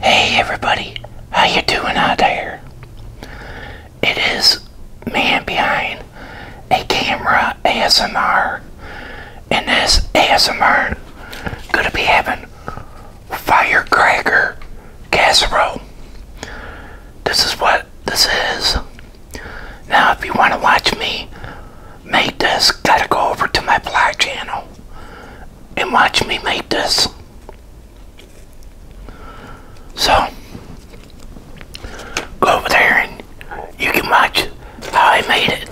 Hey everybody, how you doing out there? It is man behind a camera ASMR, and this ASMR gonna be having firecracker casserole. This is what this is. Now, if you want to watch me make this, gotta go over to my blog channel and watch me make this. So, go over there and you can watch how I made it.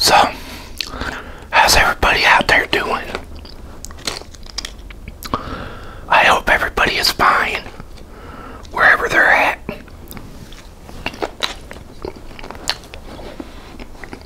So, how's everybody out there doing? I hope everybody is fine wherever they're at.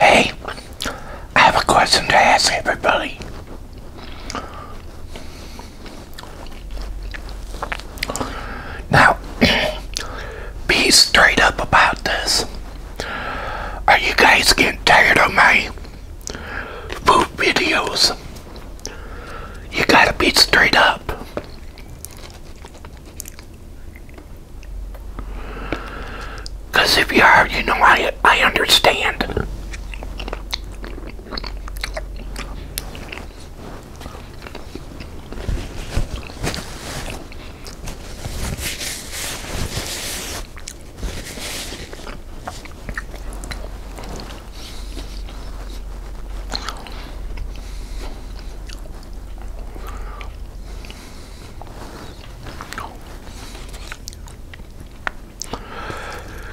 Hey, I have a question to ask everybody. Now, be straight up about this. Are you guys getting tired of my food videos? You gotta be straight up. Because if you are, you know, I, I understand.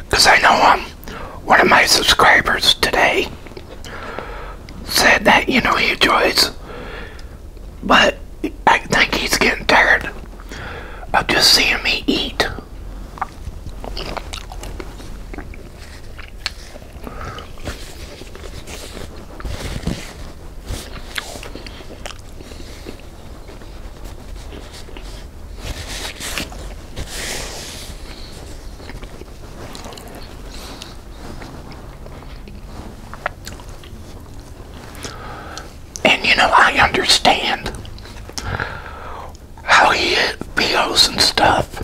Because I know um, one of my subscribers today said that, you know, he enjoys, but I think he's getting tired of just seeing me eat. And you know, I understand how he feels and stuff.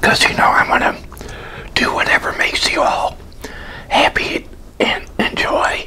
Because, you know, I am going to do whatever makes you all happy and enjoy.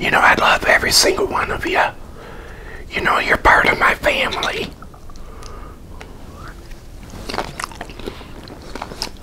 You know, I love every single one of you. You know, you're part of my family.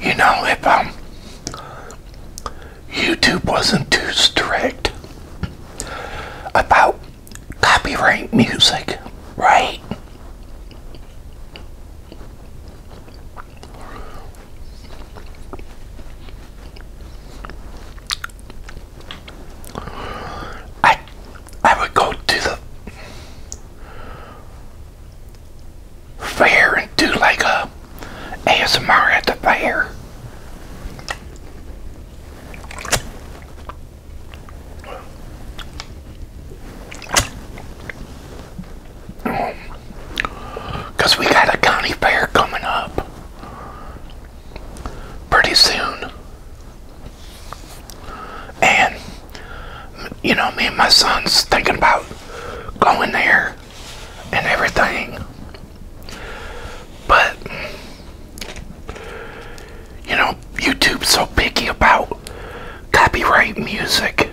You know, if I'm YouTube wasn't too strict about copyright music, right? I I would go to the fair and do like uh, a ASMR at the fair. Because we got a county fair coming up pretty soon. And, you know, me and my son's thinking about going there and everything. But you know, YouTube's so picky about copyright music.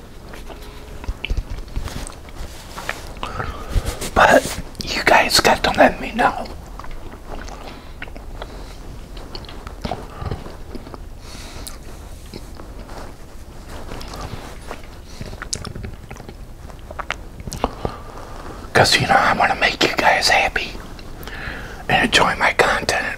But you guys got to let me know. Because, you know, I want to make you guys happy and enjoy my content.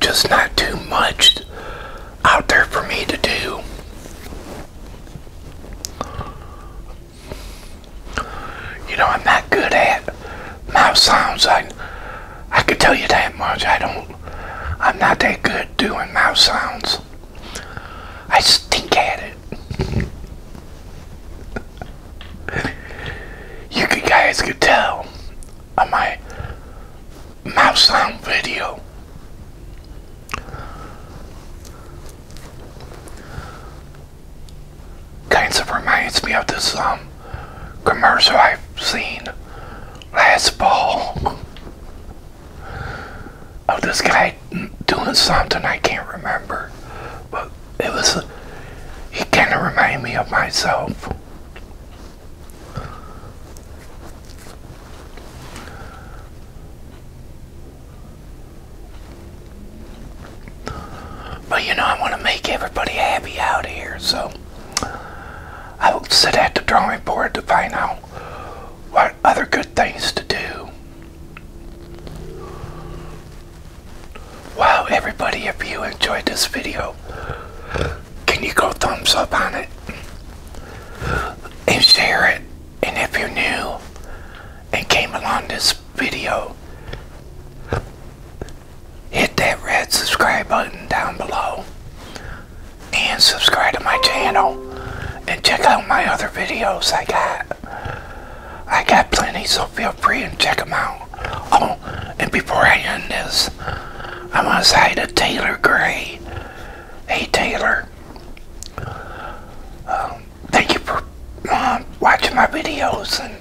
just not too much out there for me to do. You know, I'm not good at mouth sounds. I, I could tell you that much. I don't, I'm not that good doing mouth sounds. I stink at it. you guys could tell on my mouse sound video. Kind of reminds me of this um, commercial I've seen last fall of oh, this guy doing something I can't remember, but it was he kind of reminded me of myself. But you know, I want to make everybody happy out here, so I will sit at the drawing board to find out what other good things to do. Wow, everybody, if you enjoyed this video, can you go thumbs up on it and share it? And if you're new and came along this video, hit that red subscribe button down below and subscribe to my channel and check out my other videos I got. I got plenty, so feel free and check them out. Oh, and before I end this, I want to say to Taylor Gray Hey Taylor, um, thank you for um, watching my videos and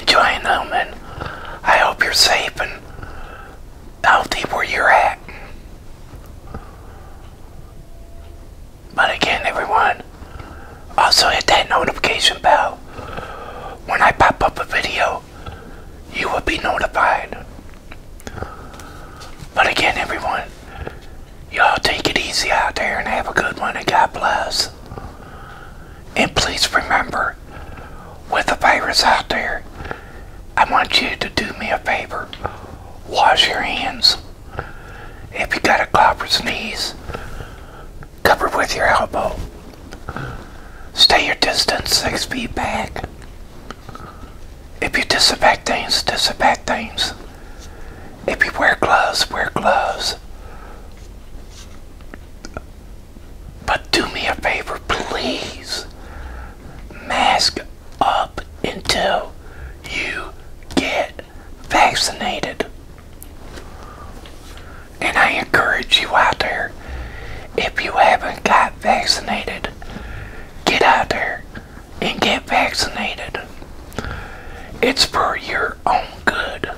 enjoying them, and I hope you're safe and healthy where you're at. But again, everyone, also hit that notification bell when I pop up a video you will be notified. But again, everyone, y'all take it easy out there and have a good one, and God bless. And please remember, with the virus out there, I want you to do me a favor. Wash your hands. If you got a cough or sneeze, cover with your elbow. Stay your distance six feet back. If you disinfect things, disinfect things. If you wear gloves, wear gloves. But do me a favor, please. Mask up until you get vaccinated. And I encourage you out there, if you haven't got vaccinated, get out there and get vaccinated. It's for your own good.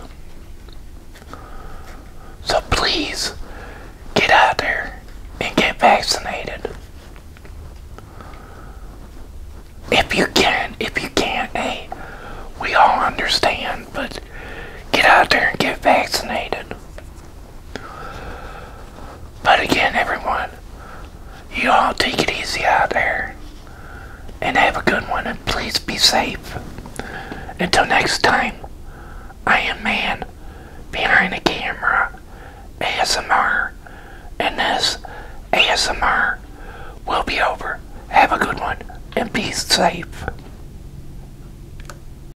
So please get out there and get vaccinated. If you can, if you can't, hey, we all understand, but get out there and get vaccinated. But again, everyone, you all take it easy out there and have a good one and please be safe. Until next time, I am man behind the camera ASMR and this ASMR will be over. Have a good one and be safe.